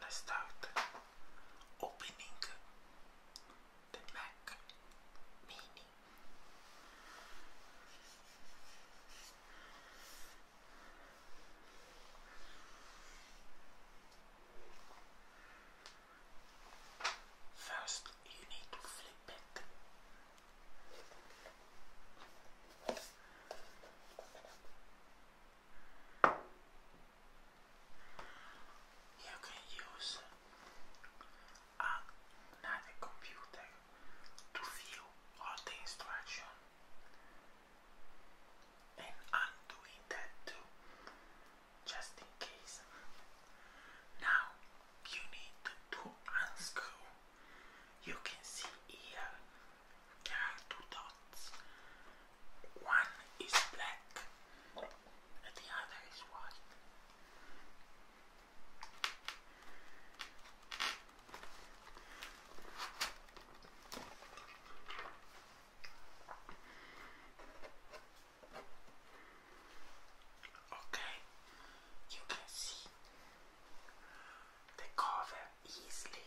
Let's start opening the Mac Mini. First, you need to flip it. You can use another computer to view all the instruction and undoing that too just in case. Now you need to unscrew. You can see here there are two dots. One is black and the other is white. Okay, you can see the cover easily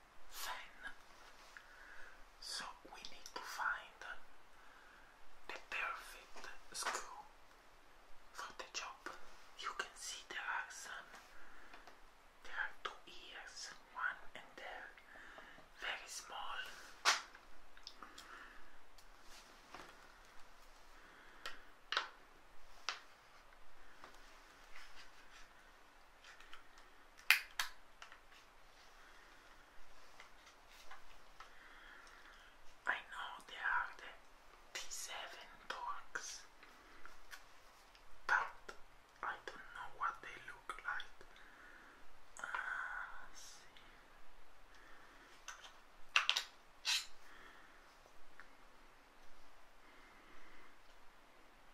fan. So we need to find the perfect screw for the job. You can see there are some, there are two ears, one and there, very small. I know there are the 7 Torx, but I don't know what they look like. Uh, see.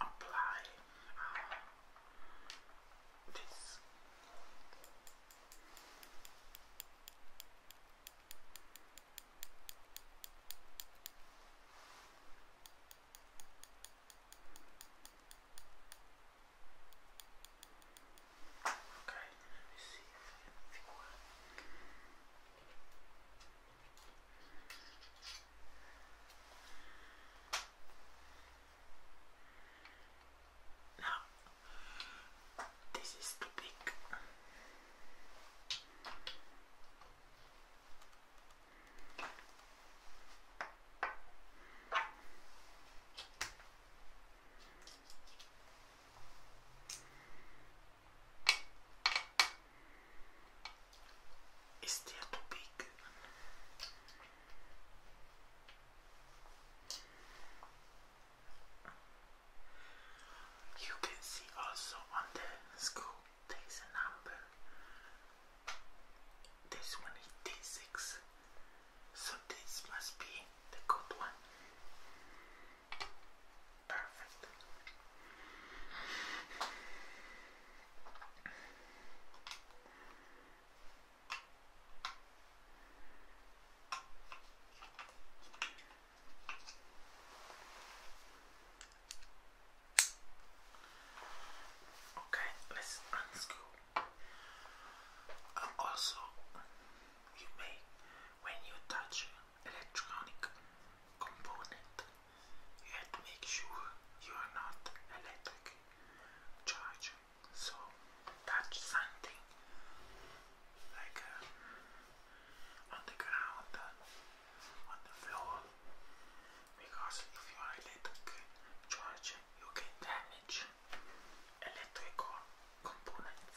apply uh, this. Okay, let me see if I can now, this is too big. Is there too big? You can see also on the scoop there is a number. This one is 6 so this must be the good one. Perfect. Okay, let's unscrew. also, you may, when you touch electronic component, you have to make sure you are not electric charge. So touch something like uh, on the ground, uh, on the floor, because if you are electric charge, you can damage electrical components.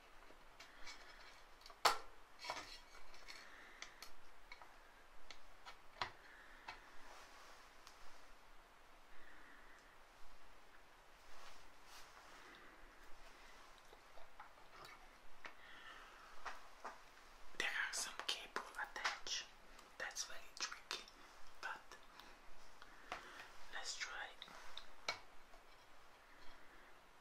There are some cable attached. That's very tricky, but let's try.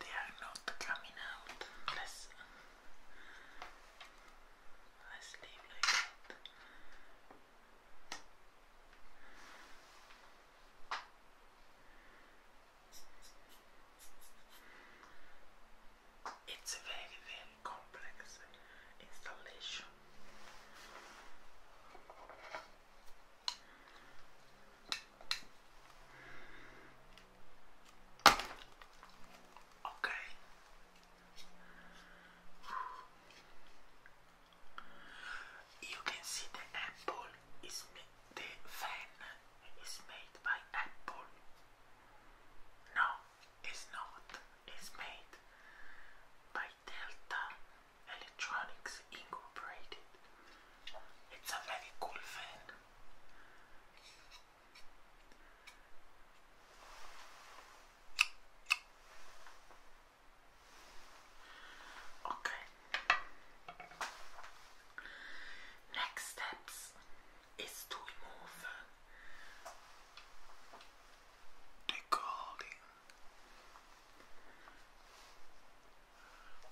They are not coming out. Let's let it's a very very complex installation. Okay you can see the apple is the fan is made by apple. No, it's not. It's made by Delta Electronics Incorporated. It's a very cool fan. Okay, Next steps is to remove the clothing.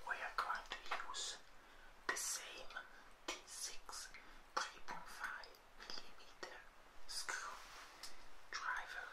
We are going to use the same T6 3.5mm screwdriver.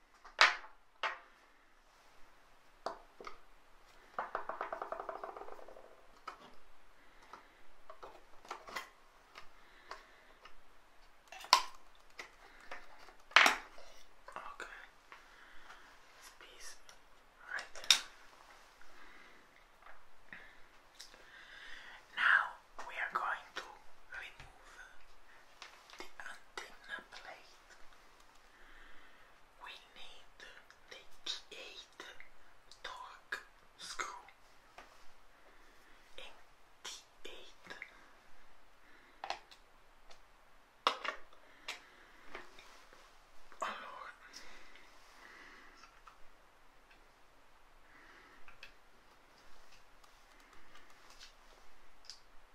Okay. This right Now we are going to remove the antenna plate we need the T8 torque screw and T8 Alors,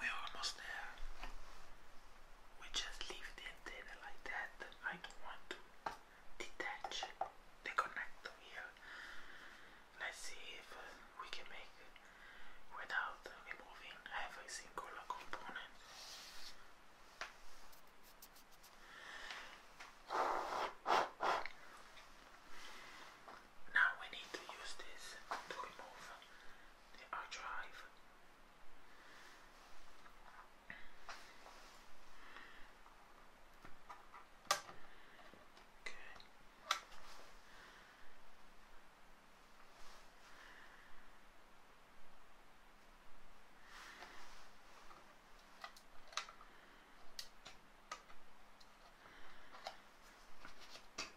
We're almost there. We just leave the antenna like that. I don't want to detach the here. Let's see if uh, we can make without removing every single component. Now we need to use this to remove the hard drive. Okay.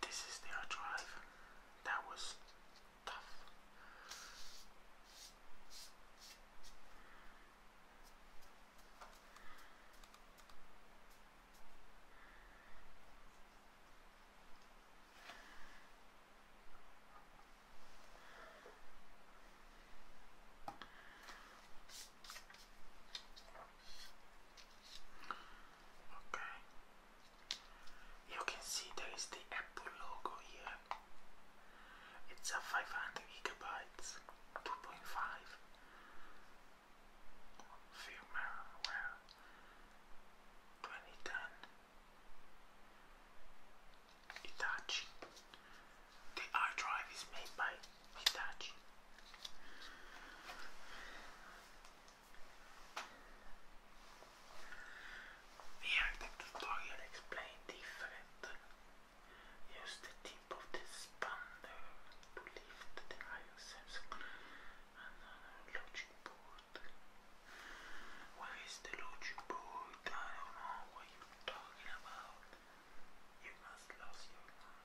This is the their drive. That was tough. Okay. You can see there is the Apple logo here. It's a 500 gigabytes, 2.5 firmware 2010 Itachi the iDrive is made by Hitachi. Here the tutorial explains different. Use the tip of the spanner to lift the iron sensor and another logic board. Where is the logic board? I don't know what you're talking about. You must lose your mind.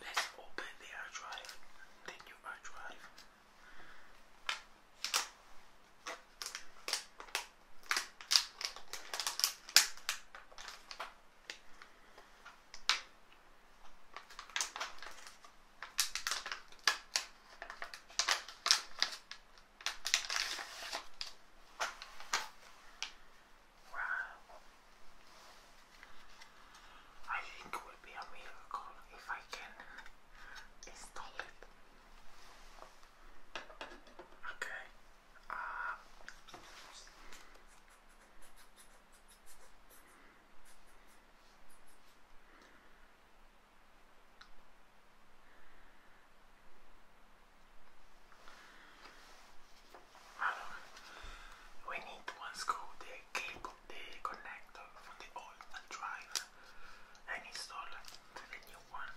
Let's open the hard drive, the new hard drive. Wow. I think it will be a miracle if I can install it. Okay. Uh, Madam, we need to unscrew the cable, the connector from the old drive and install the new one.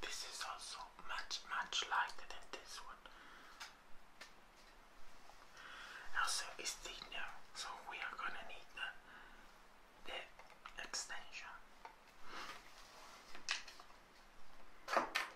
this is also much, much lighter than this one. Also, it's thinner, so we are gonna need the extension.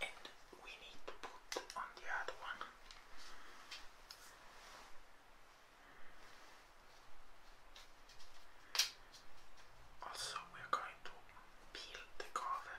And we need to put on the other one. Also, we are going to peel the cover.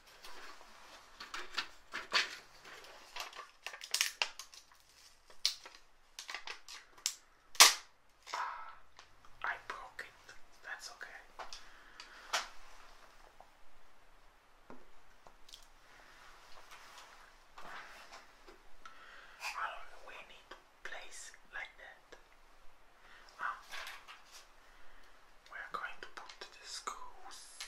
Ah, I broke it. That's okay. I don't need place like that. Ah. we're going to put the screws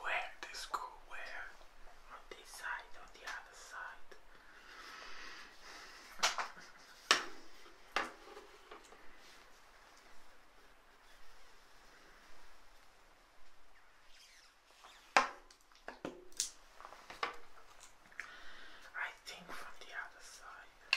where this go where on this side on the other side I think from the other side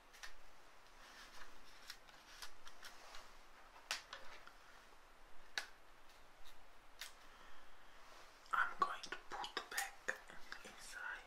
I'm going to put back inside.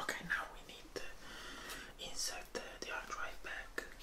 Okay, now we need to insert the hard drive back.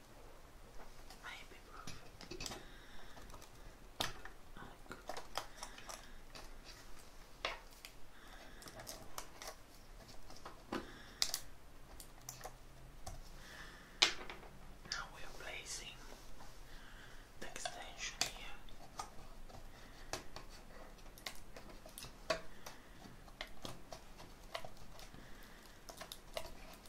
Ibuprofen. Oh, Now we are placing extension here.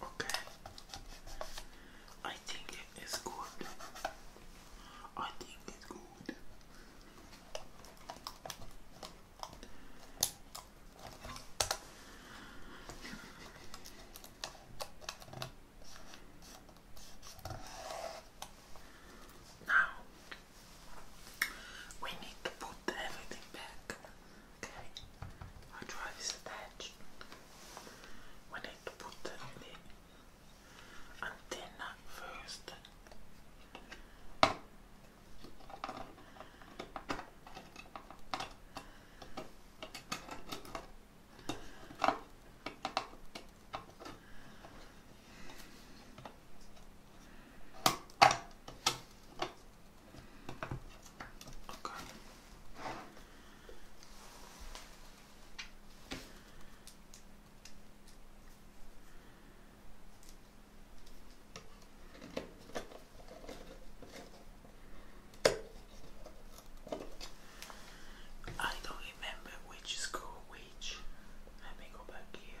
Okay, I think it is good. I think it's good. Now we need to put everything back. Okay, our drive is attached. We need to put the antenna first. Okay. I don't remember which is which. Let me go back here.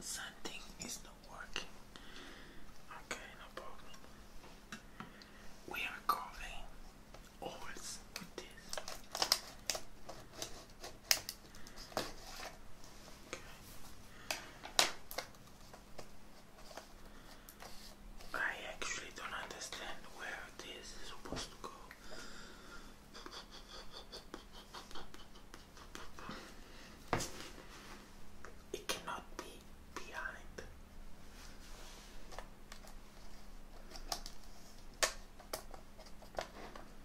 Something is not working. Okay, no problem. We are covering always with this. I actually don't understand where this is supposed to go. It cannot be behind.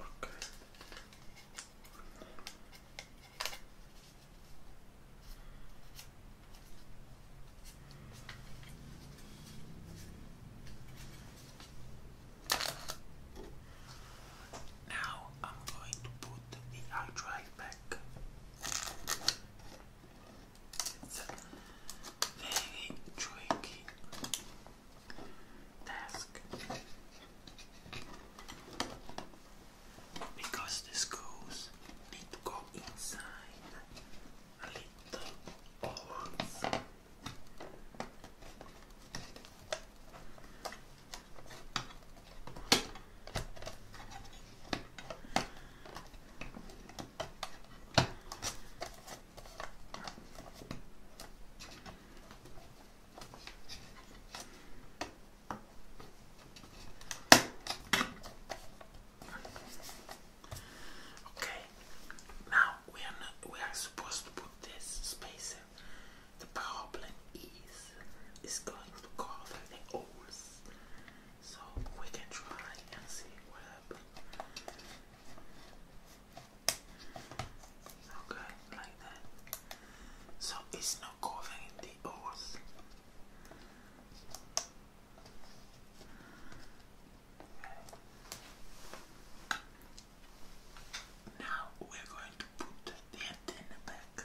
Okay. Now I'm going to put the hard drive back. It's very tricky task because the screws need to go inside a little holes. Okay, now we are not, we are supposed to put this spacer. The problem is, it's going to cover the so we can try and see what happens. Okay, like that. So it's not covering the earth. Now we're going to put the antenna back.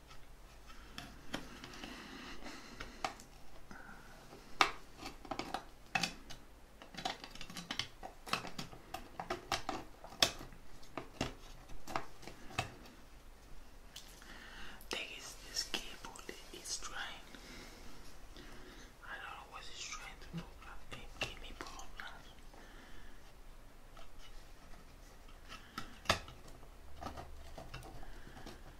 Thing is, this keyboard is trying. I don't know what it's trying to do, but it me problems.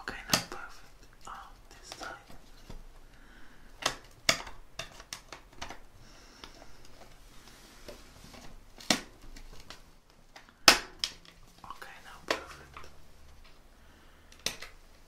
Okay, not perfect. Oh, this time. Okay, now perfect.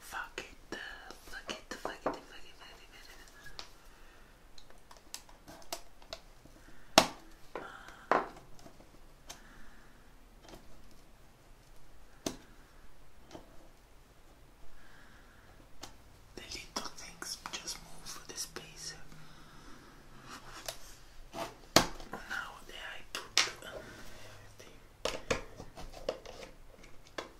Fuck it, fuck it, fuck it, fuck it, fuck it, fuck it, the little things just move for the space. Now that I put everything.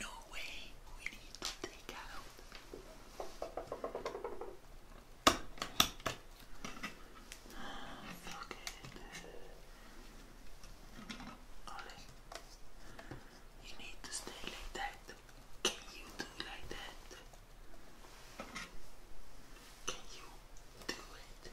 No way, we need to take out. Ah, fuck it. you need to stay like that. Can you do like that? Can you do it?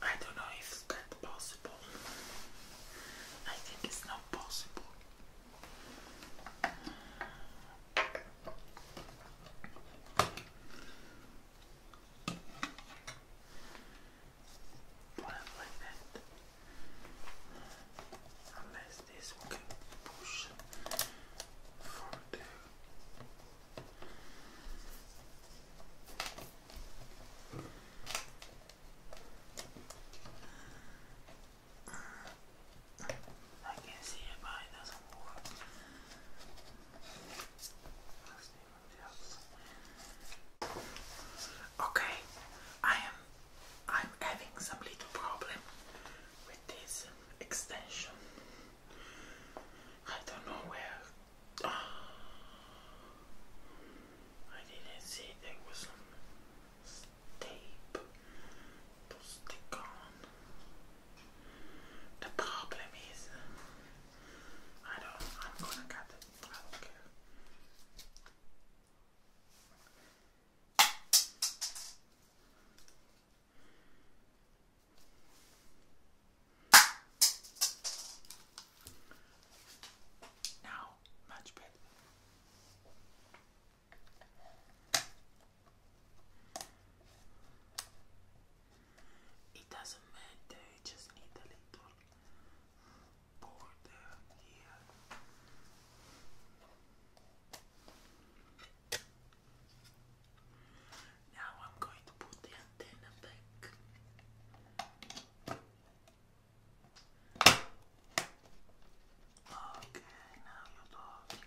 I don't know if that's possible. I think it's not possible. Plant like Unless this one can push further. I can see it, but it doesn't work. Okay, I am I'm having some little problem with this um, extension. I don't know where oh, didn't see there was some tape to stick on. The problem is I don't. I'm gonna cut it. I don't care. Now, much better. It doesn't matter, just need a little border here. Now I'm going to put the antenna back. Okay, now you're talking.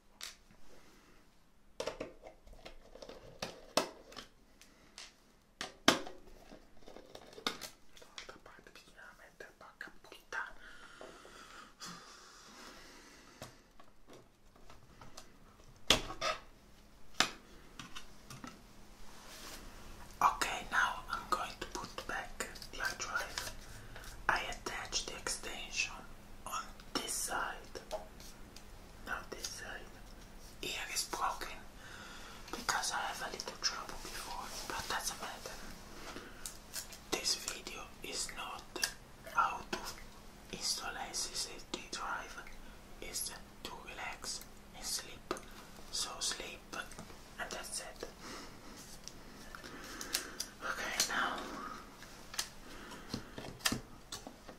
Okay, now I'm going to put back the drive. I attach the extension on this side now this ear is broken because I have a trouble before, but doesn't This video is not how to install a SSD drive, it's to relax and sleep. So sleep and that's it. Okay, now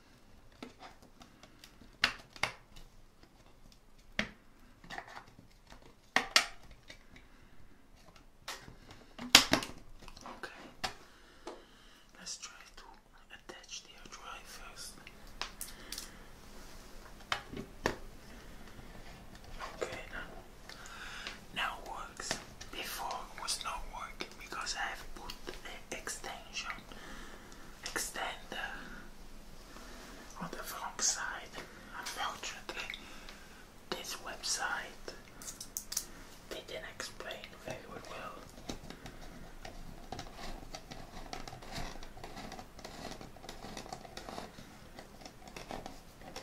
Okay, let's try to attach the air first. Okay, now now works. Before was not working because I have put the extension extender uh, on the wrong side. Unfortunately, this website didn't explain very well. Okay,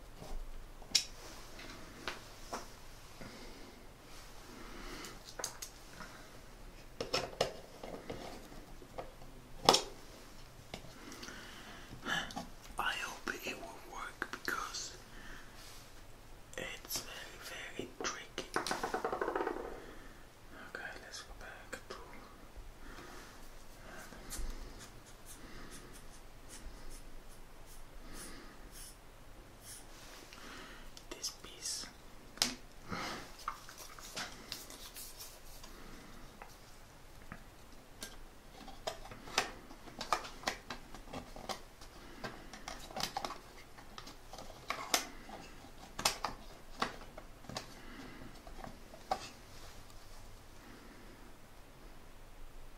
I hope it will work because it's very, very tricky. Okay, let's go back to. This piece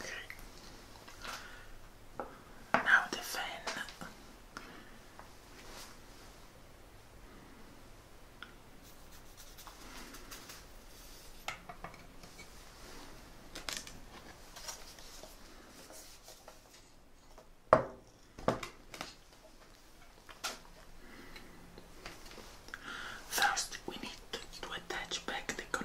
Okay. Now the fan. First, we need to, attach back the connectors.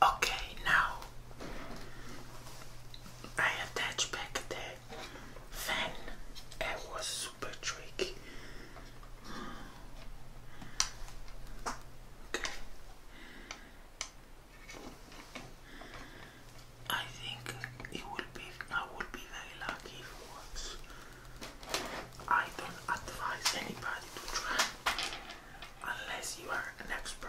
Okay, now I attached back the fan. It was super tricky. Okay. I think it will be I would be very lucky if it I don't advise anybody to try unless you are an expert.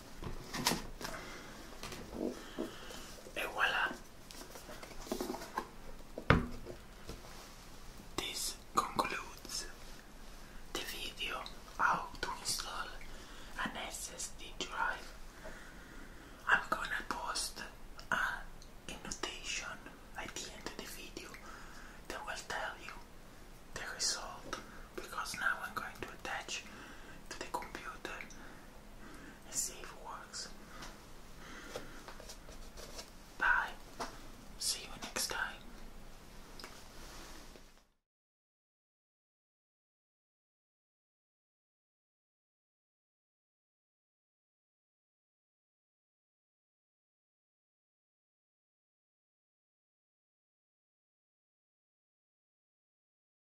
And This concludes the video how to install an SSD drive. I'm gonna post a annotation at the end of the video that will tell you the result because now I'm going to attach to the computer Let's see if it works. Bye. See you next time.